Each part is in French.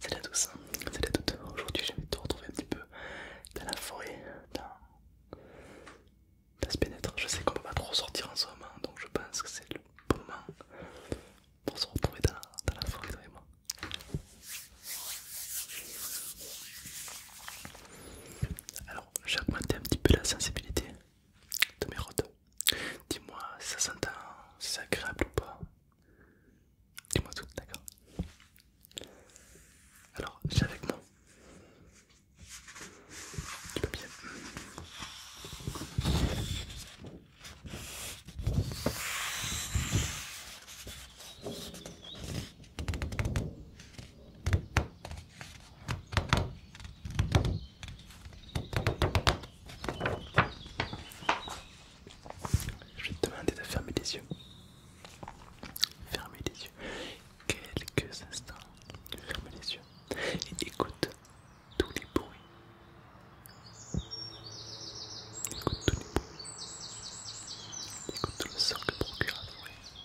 Salut à tous, salut à toutes. Aujourd'hui, je vais te retrouver un petit peu dans la forêt, dans, ce pénètre. Je sais qu'on peut pas trop sortir en ce moment, donc je pense que c'est le bon moment pour se retrouver dans, la forêt, Alors, j'ai augmenté un petit peu la sensibilité de mes rodeaux. Dis-moi, ça s'entend, c'est agréable ou pas Dis-moi tout, d'accord Alors, j'ai avec moi bien. Je vais te demander de fermer les yeux. Fermez les yeux. Quelques instants. Fermez les yeux. Et écoute tous les bruits. Écoute tous les bruits. Écoute tout le sort que procure la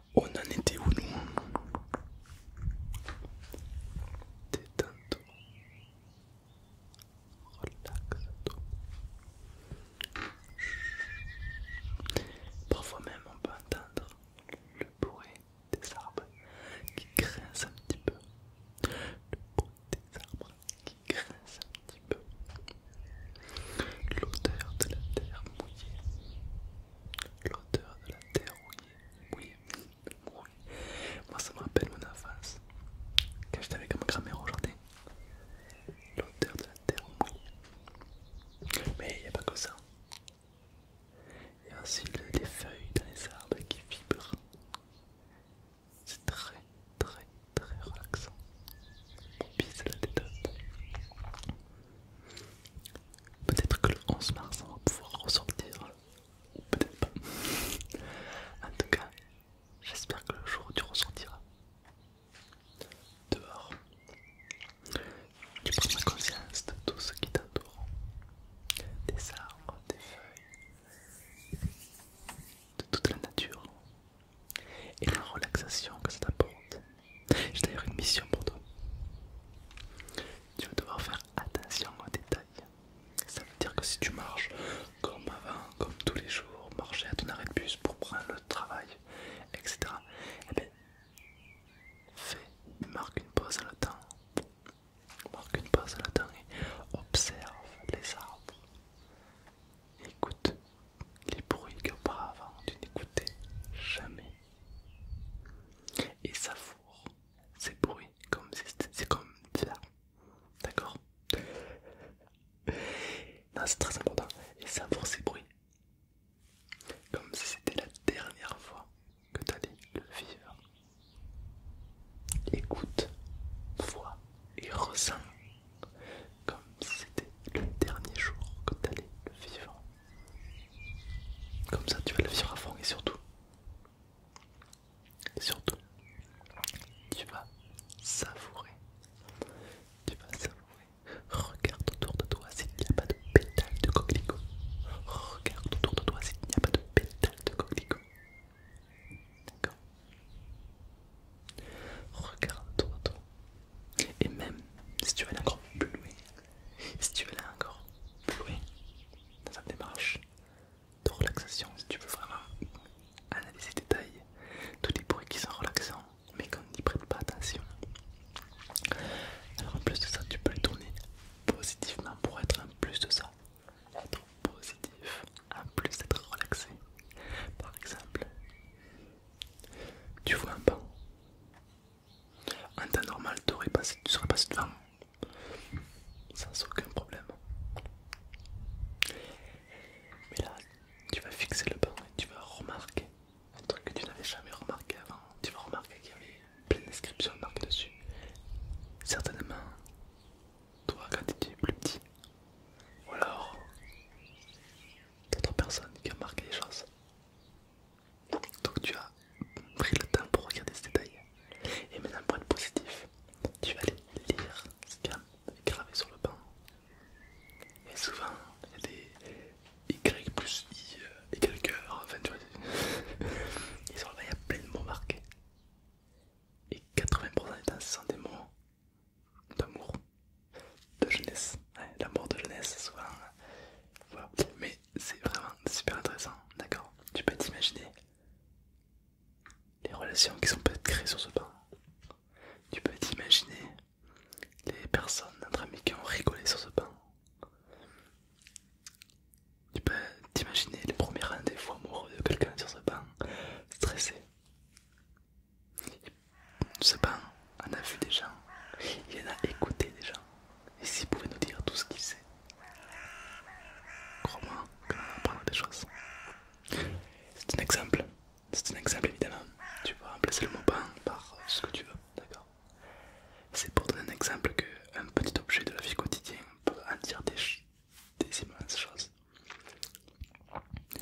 On en était où nous Des toi relaxe Parfois même on peut entendre le bruit des arbres qui grincent un petit peu. Le bruit des arbres qui grincent un petit peu. L'odeur de la terre mouillée. L'odeur de la terre mouillée, mouillée, mouillée. Moi ça me rappelle mon enfance. Quand j'étais avec ma grand aujourd'hui. L'odeur de la terre mouillée. Mais il n'y a pas que ça. Il y a aussi les feuilles dans les arbres qui vibrent. C'est très très très relaxant. Bon pire, la détente. Peut-être que le 11 mars on va pouvoir ressortir, euh, ou peut-être pas. en tout cas, j'espère que le jour où tu ressortiras dehors, tu prends conscience de tout ce qui t'entoure des arbres, des feuilles, de toute la nature, et la relaxation que ça t'apporte. J'ai d'ailleurs une mission pour toi. Tu vas devoir faire attention aux détails. Ça veut dire que si tu marches comme avant, comme tous les jours, marcher à ton arrêt de bus pour prendre le travail, etc. Eh bien, fais, marque une pause dans le temps. Marque une pause dans le temps et observe les arbres écoute les bruits que avant, tu n'écoutais jamais et savoure ces bruits comme c'est comme ça d'accord Non, c'est très important et savoure ces bruits comme si c'était la dernière fois que tu allais le vivre écoute vois et ressent comme si c'était le dernier jour que tu le vivre. Comme ça, tu vas le vivre à fond et surtout, surtout, tu vas savourer. Tu vas savourer. Regarde autour de toi s'il n'y a pas de pétales de coquelicot. Regarde autour de toi s'il n'y a pas de pétales de coquelicot. D'accord Regarde-toi, Et même si tu veux aller encore plus loin, si tu veux aller encore plus loin dans ta démarche de relaxation, si tu veux vraiment analyser les détails, tous les bruits qui sont relaxants, mais qu'on n'y prête pas attention. Alors en plus de ça, tu peux les tourner positivement pour être en plus de ça, être positif en plus d'être relaxé. Par exemple, tu vois un banc. En temps normal, passé, tu serais passé devant sans aucun problème. Mais là, tu vas fixer le banc et tu vas remarquer un truc que tu n'avais jamais remarqué avant. Tu vas remarquer qu'il y avait plein d'inscriptions marquées dessus. Certainement toi, quand tu es plus petit. Ou alors, d'autres personnes qui ont marqué les choses. Donc tu as pris le temps pour regarder ces détails. Et maintenant, pour être positif, tu vas aller lire ce qu'il y a gravé sur le banc. Et souvent, il y a des Y plus I, euh, Y, enfin tu vois. Et sur le il y a plein de mots marqués et 80% des temps ce sont des mots d'amour, de jeunesse, l'amour de jeunesse souvent, mais c'est vraiment super intéressant, d'accord Tu peux t'imaginer les relations qui sont peut-être créées sur ce banc, tu peux t'imaginer les personnes, notre amis qui ont rigolé sur ce banc, tu peux t'imaginer les premiers rendez-vous amoureux de quelqu'un sur ce banc, stressé. Ce banc en a vu des gens, il en a écouté des gens, et s'il pouvait nous dire tout ce qu'il sait, crois-moi qu'on des choses. C'est un exemple, c'est un exemple évidemment. Tu peux remplacer le mot banc par ce que tu veux, d'accord C'est pour donner un exemple qu'un petit objet de la vie quotidienne peut en dire des, des immenses choses.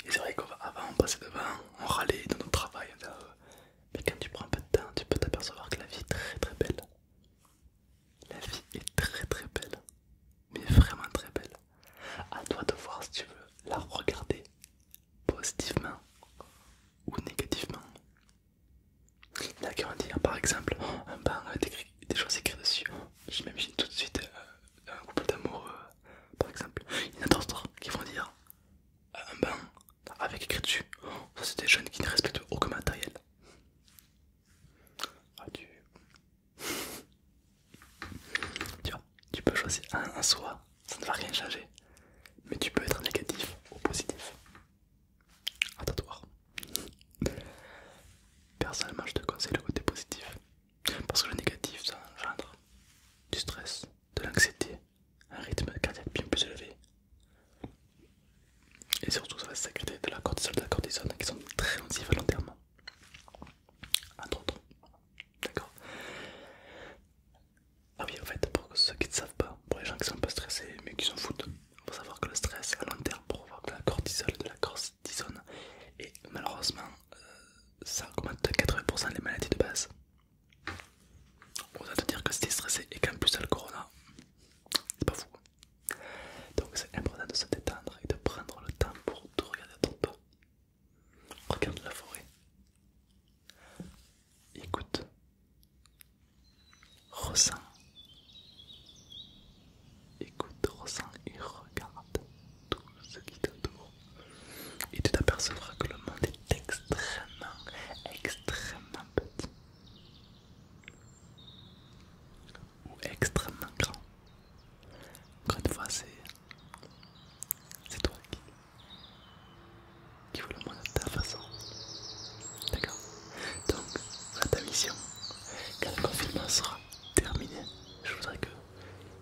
Et c'est vrai qu'avant on passait devant, on râlait dans notre travail, ah, mais quand tu prends un peu de temps, tu peux t'apercevoir que la vie est très très belle. La vie est très très belle, mais vraiment très belle. À toi de voir si tu veux la regarder positivement ou négativement. Il y en a qui vont dire par exemple, un banc avec euh, des, choses écrites dessus. Je m'imagine tout de suite euh, un couple d'amoureux, par exemple. Il y en a d'autres qui vont dire euh, un banc avec écrit dessus. Ça, c'est des jeunes qui ne respectent aucun matériel. Ah, tu... vois, tu peux choisir un en soi, ça ne va rien changer. Mais tu peux être négatif ou positif à toi. Personnellement, je te conseille le côté positif parce que le négatif ça engendre du stress, de l'anxiété, un rythme cardiaque bien plus élevé et surtout ça va sécréter de la cortisol, de la cortisone qui sont très nocifs à long terme, entre autres. D'accord Ah oui, en fait, pour ceux qui ne savent pas, pour les gens qui sont pas stressés mais qui s'en foutent, il faut savoir que le stress à long terme provoque la cortisol de la cortisone et malheureusement euh, ça augmente de 80% les maladies de base. on va te dire que si es stressé et qu'en plus ça le corona, c'est pas fou. Donc c'est important de se détendre et de prendre le temps pour te regarder à ton Regarde la forêt. Écoute Ressens. Écoute, ressens et regarde tout ce qui t'entoure. Et tu t'apercevras que le monde est extrêmement, extrêmement petit. Ou extrêmement grand. Encore une fois, c'est toi qui qui voulait le moins de ta façon. D'accord Donc, à ta mission. Quand le confinement sera terminé, je voudrais que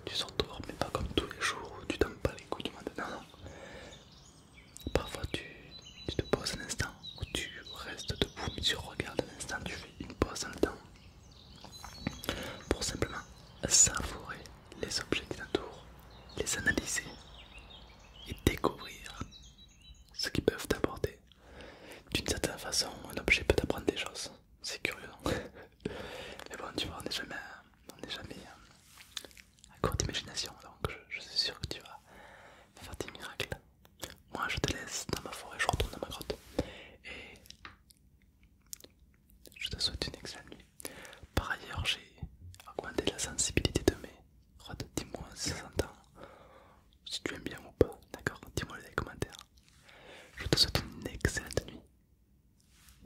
tu sortes mais pas comme tous les jours où tu t'en pas les coups du monde. Non, non. Parfois, tu, te poses un instant où tu restes debout, tu regardes un instant, tu fais une pause dans le temps pour simplement savourer les objets qui t'entourent, les analyser, et découvrir ce qu'ils peuvent t'apporter. D'une certaine façon, un objet peut t'apprendre des choses. C'est curieux. Mais bon, tu vois, on n'est jamais, jamais euh, à court d'imagination, donc je suis sûr que tu vas faire des miracles. Moi, je te laisse dans ma forêt, je retourne dans ma grotte. Et je te souhaite une excellente nuit. Par ailleurs, j'ai augmenté la sensibilité de mes rods. Dis-moi si ça s'entend, si tu aimes bien ou pas, d'accord Dis-moi dans les commentaires. Je te souhaite une excellente nuit.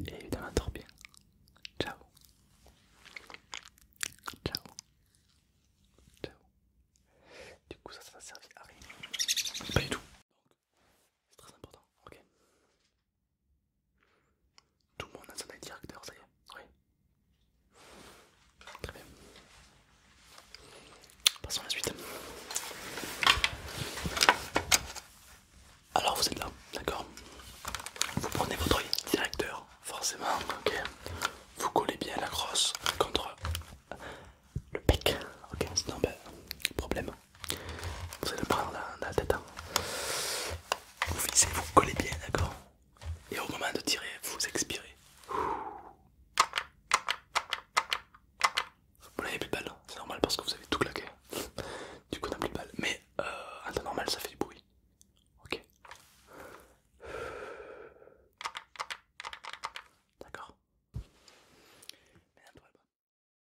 Et évidemment, dors bien. Ciao. Ciao. Ciao. Du coup, ça, ça sert à rien. Pas du tout. c'est très important, ok tout le monde a son directeur, ça y est. Oui. Très bien. Passons à la suite. Alors vous êtes là, d'accord Vous prenez votre directeur, forcément, ok Vous collez bien la crosse contre le bec, ok Sinon, ben, problème. Vous allez le prendre dans, la tête. Hein. Vous fixez, vous collez bien, d'accord Et au moment de tirer, vous expirez. Vous n'avez plus de balles. Hein. c'est normal parce que vous avez tout claqué. Du coup, on n'a plus de balles. Mais euh, en temps normal, ça fait du bruit. Ok D'accord